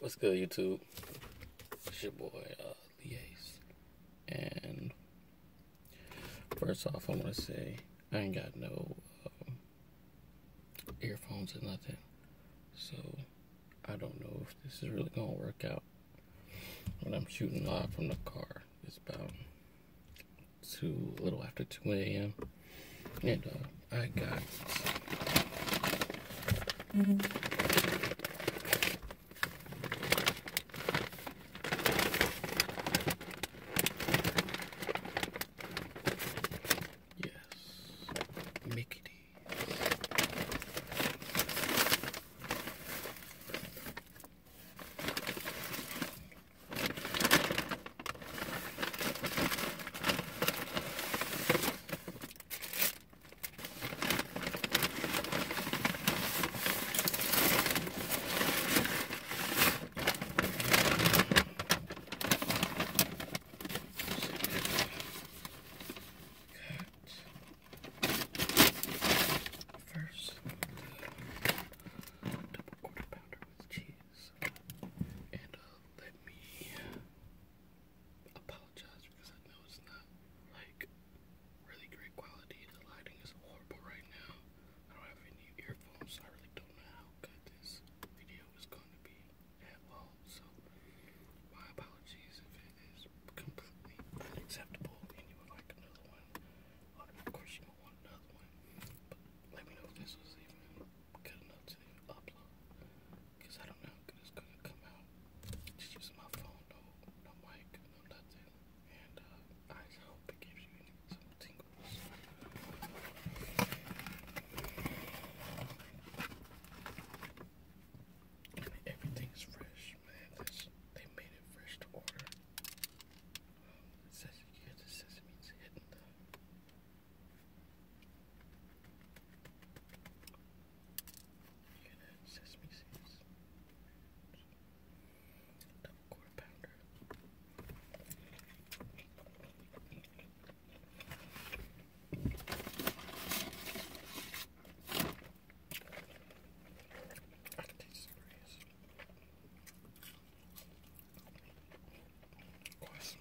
What's good, YouTube? It's your boy, uh, Leace. And first off, I want to say I ain't got no um, earphones or nothing. So I don't know if this is really going to work out. When I'm shooting live from the car, it's about 2, a little after 2 a.m. And uh, I got. Mm Yes, Mickey First, double quarter pounder with cheese, and uh, let me apologize because I know it's not like really great quality. The lighting is horrible right now. I don't have any earphones, so I really don't know how good this video is going to be at all. So, my apologies if it is completely unacceptable and you would like another one. Of course, you don't want another one, but let me know if this was even good enough to even upload. Cause I don't know how it's gonna come out. Just using my phone, no, no mic, no nothing. And uh, I just hope it gives you some tingles. And everything's fresh, man. they made it fresh to order. it says here the sesame's hidden Unit sesame seeds. Double quarter I taste cereals. Of course,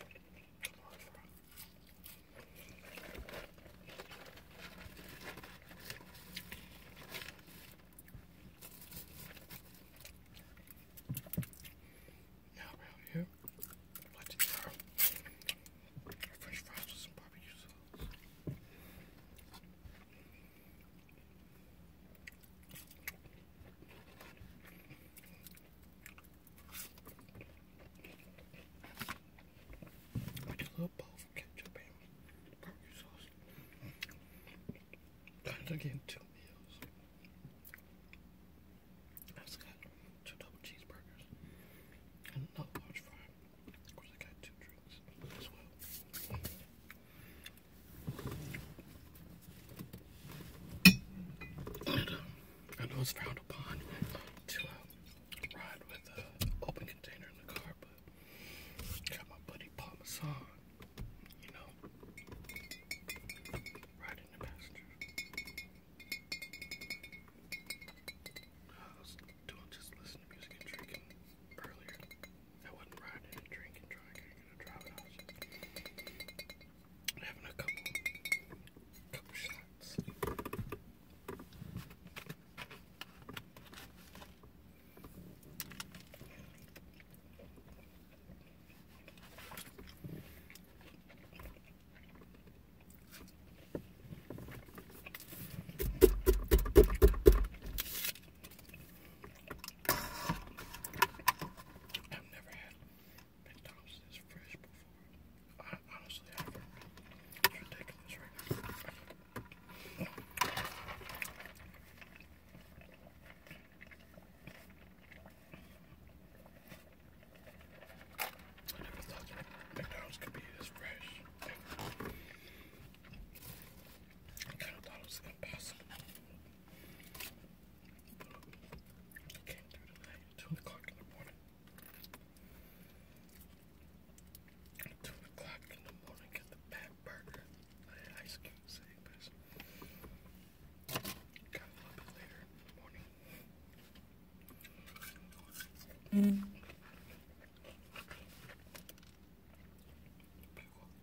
now around here, what is our French fries with some barbecue sauce? I just love both ketchup and barbecue sauce. Kind of getting two meals. I just got two double cheeseburgers and another large fry. Of course, I got two drinks as well. Um, I know it's frowned upon uh, to uh, ride with an open container in the car, but got my buddy Parmesan, you know, right in the passenger. I was doing just listening to music and drinking earlier. I wasn't riding and drinking, trying to drive it having a couple, couple shots. I've never had McDonald's is fresh before. I honestly haven't. It's ridiculous right now. I never thought McDonald's could be this fresh. I kind of thought it was impossible. Two o'clock in the morning. two o'clock in the morning, get the bad burger. I ice cube savers. Got a little bit later morning. Mm.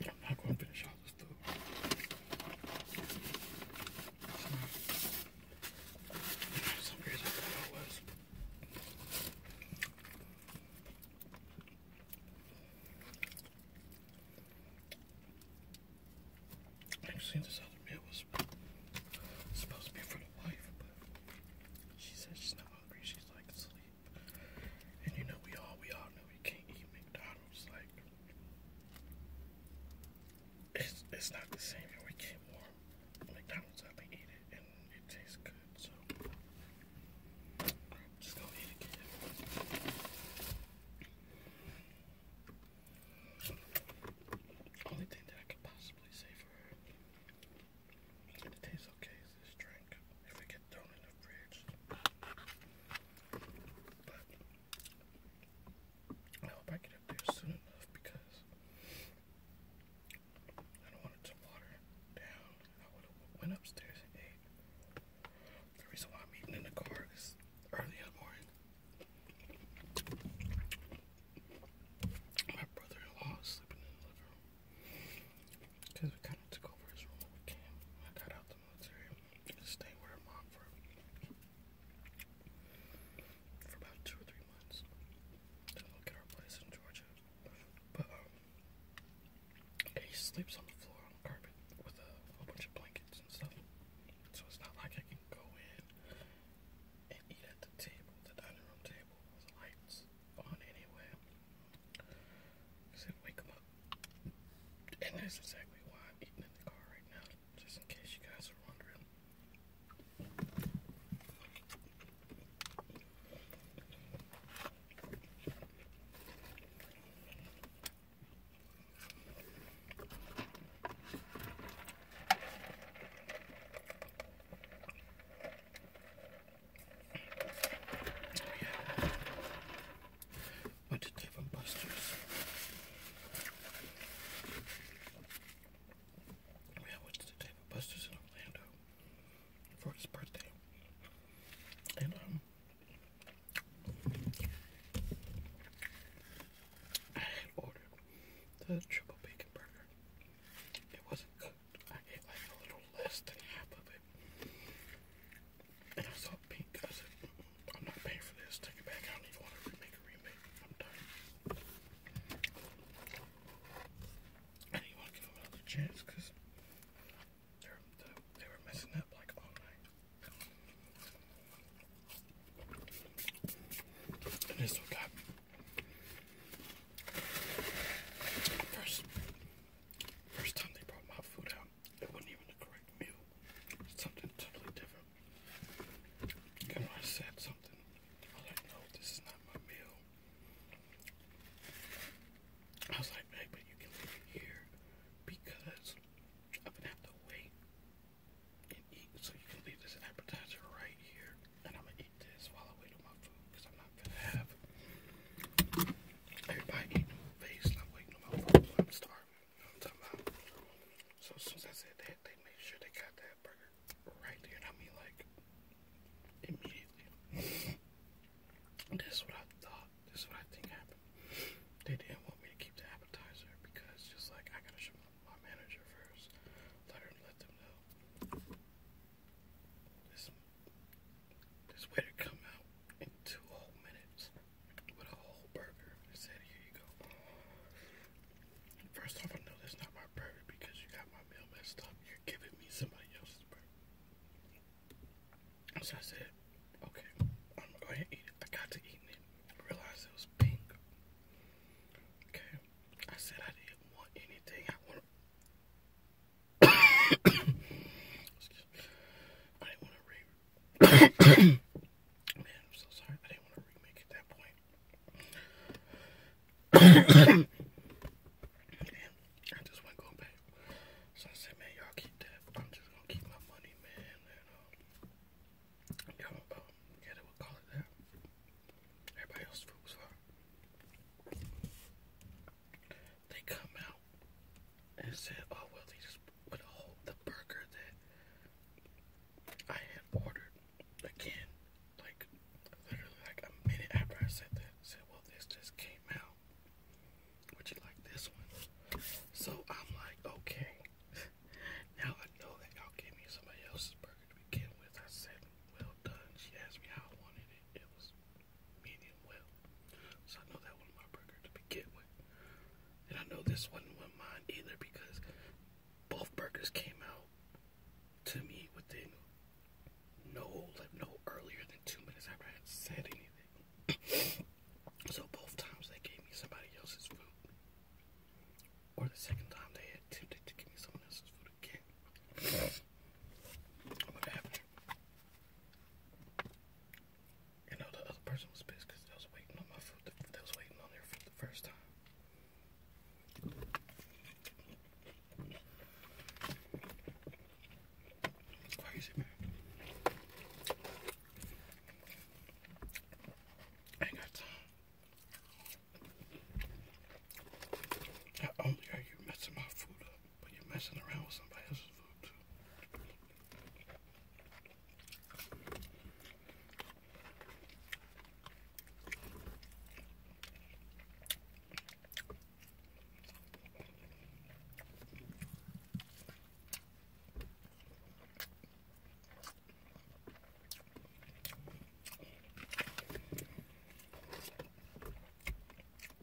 I'm not going to finish dollars I this other meal was supposed to be for the wife, but she said she's not hungry, she's like asleep. And you know we all we all know we can't eat me. McDonald's, like it's it's not the same and we get warm. McDonald's up and eat it and it tastes good, so I'm just gonna eat it again. Only thing that I could possibly say for her and it tastes okay is this drink if it gets thrown in the fridge. But I hope I get up there soon enough because I don't want it to water down. I went upstairs The reason why I'm eating in the car is early in the morning. My brother-in-law is sleeping in the living room because we kind of took over his room when we came. I got out the military with mom for for about two or three months. Then look at our place in Georgia. But um, he sleeps on the floor on the carpet with a whole bunch of blankets and stuff. So it's not like I can go in and eat at the table, the dining room table with lights on anyway. because wake him up and that's exactly why I'm eating in the car right now, just in case you guys are wondering. yeah but Dave and Buster's. We went to Dave and Buster's in Orlando for his birthday, and um, I had ordered the triple bacon burger. It wasn't cooked. I ate like a little less than half of it. And I saw pink. I am not paying for this. Take it back. I don't even want to remake a remake. I'm done. I didn't want to give them another chance because they were, messing up like all night. this one got first, first time they brought my food out. It wasn't even the correct meal. Something totally different. And I said something, I was like, no, this is not my meal. I was like, hey, you can leave it here because I'm gonna have to wait and eat. So you can leave this appetizer right here, and I'm gonna eat this while I wait on my food because I'm not gonna have Everybody eating face, I'm waiting on my I'm starving. I'm talking about? So soon as I said that, they made sure they got that burger right there. And I mean, like, immediately. That's what I thought. This is what I think happened. They didn't want me to keep the appetizer because just like I gotta show my manager first. Let her let them know. This this to come out two whole minutes with a whole burger. I said, here you go. First off, I know that's not my burger because you got my meal messed up. You're giving me somebody else's burger. So I said, okay, I'm gonna go ahead and eat it. I got to eating it. realized it was pink. Okay, I said I didn't want anything. I wanted. I didn't want to re. Man, am sorry. I didn't want to remake at that point. I just went going back. So I said, man, y'all keep that. I'm just gonna keep my money, man. And uh, uh, y'all yeah, they would call it that. Everybody else food was they come out and said, oh, well, they just would hold the burger that I had ordered again. Like, literally, like a minute after I said that, I said, well, this just came out. Would you like this one? So I'm like, okay. now I know that y'all gave me somebody else's burger to begin with. I said, well done. She asked me how I wanted it. It was medium well. So I know that wasn't my burger to begin with. And I know this one wasn't mine either because both burgers came out to me within no like no earlier than two minutes after I had said anything. so both times they gave me somebody else's food. Or the second time they attempted to give me someone else's food again. what happened you know the other person was pissed because they was waiting on my food. They was waiting on their food the first time. Crazy man. I ain't got time. Not only are you messing my food up, but you're messing around with somebody else's food too.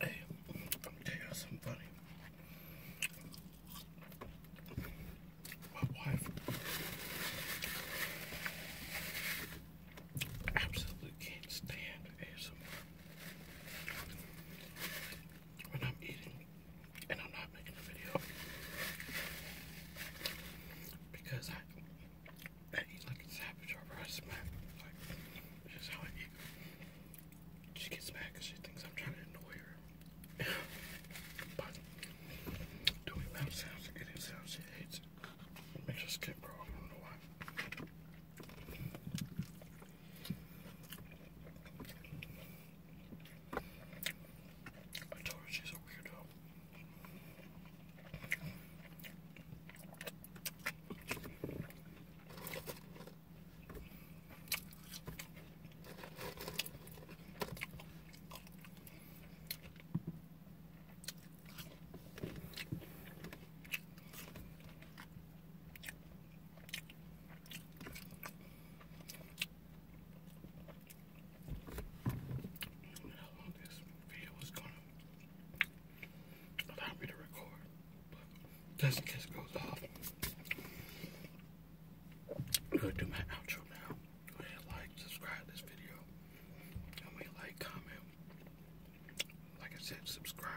Hey, I'm gonna funny. My wife absolutely can't stand ASMR. When I'm eating, and I'm not making a video because I eat like a savage over I smack like this how I eat. She gets mad she thinks I'm trying to annoy her. but doing mouth sounds and getting she hates it. It makes her skin crawl. I don't know why. I told her she's a weirdo this video goes off, i do my outro now. Go ahead, like, subscribe this video. comment. Like I said, subscribe.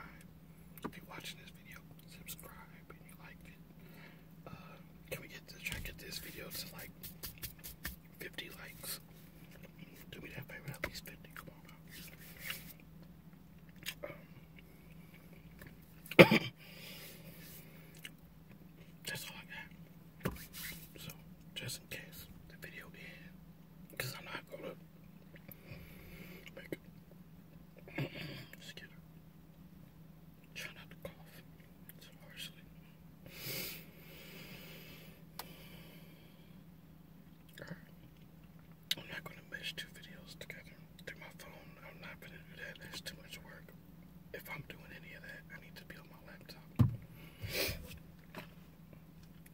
If you're watching this video, subscribe and you like it. Uh, can we get to try to get this video to like 50 likes? Do we have favorite at least 50? Come on um, that's all I got. So, just in case the video ends, because I'm not gonna make it. Just I'm not gonna mesh two videos together through my phone. I'm not gonna do that. That's too much work. If I'm doing any of that, I need to be on my laptop.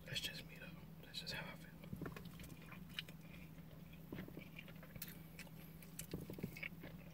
That's just me though. That's just how I feel.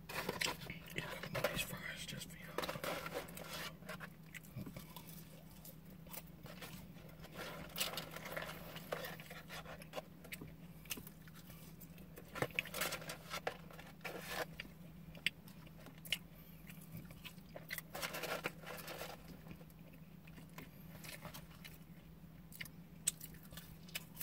Eat one of these fries just for you.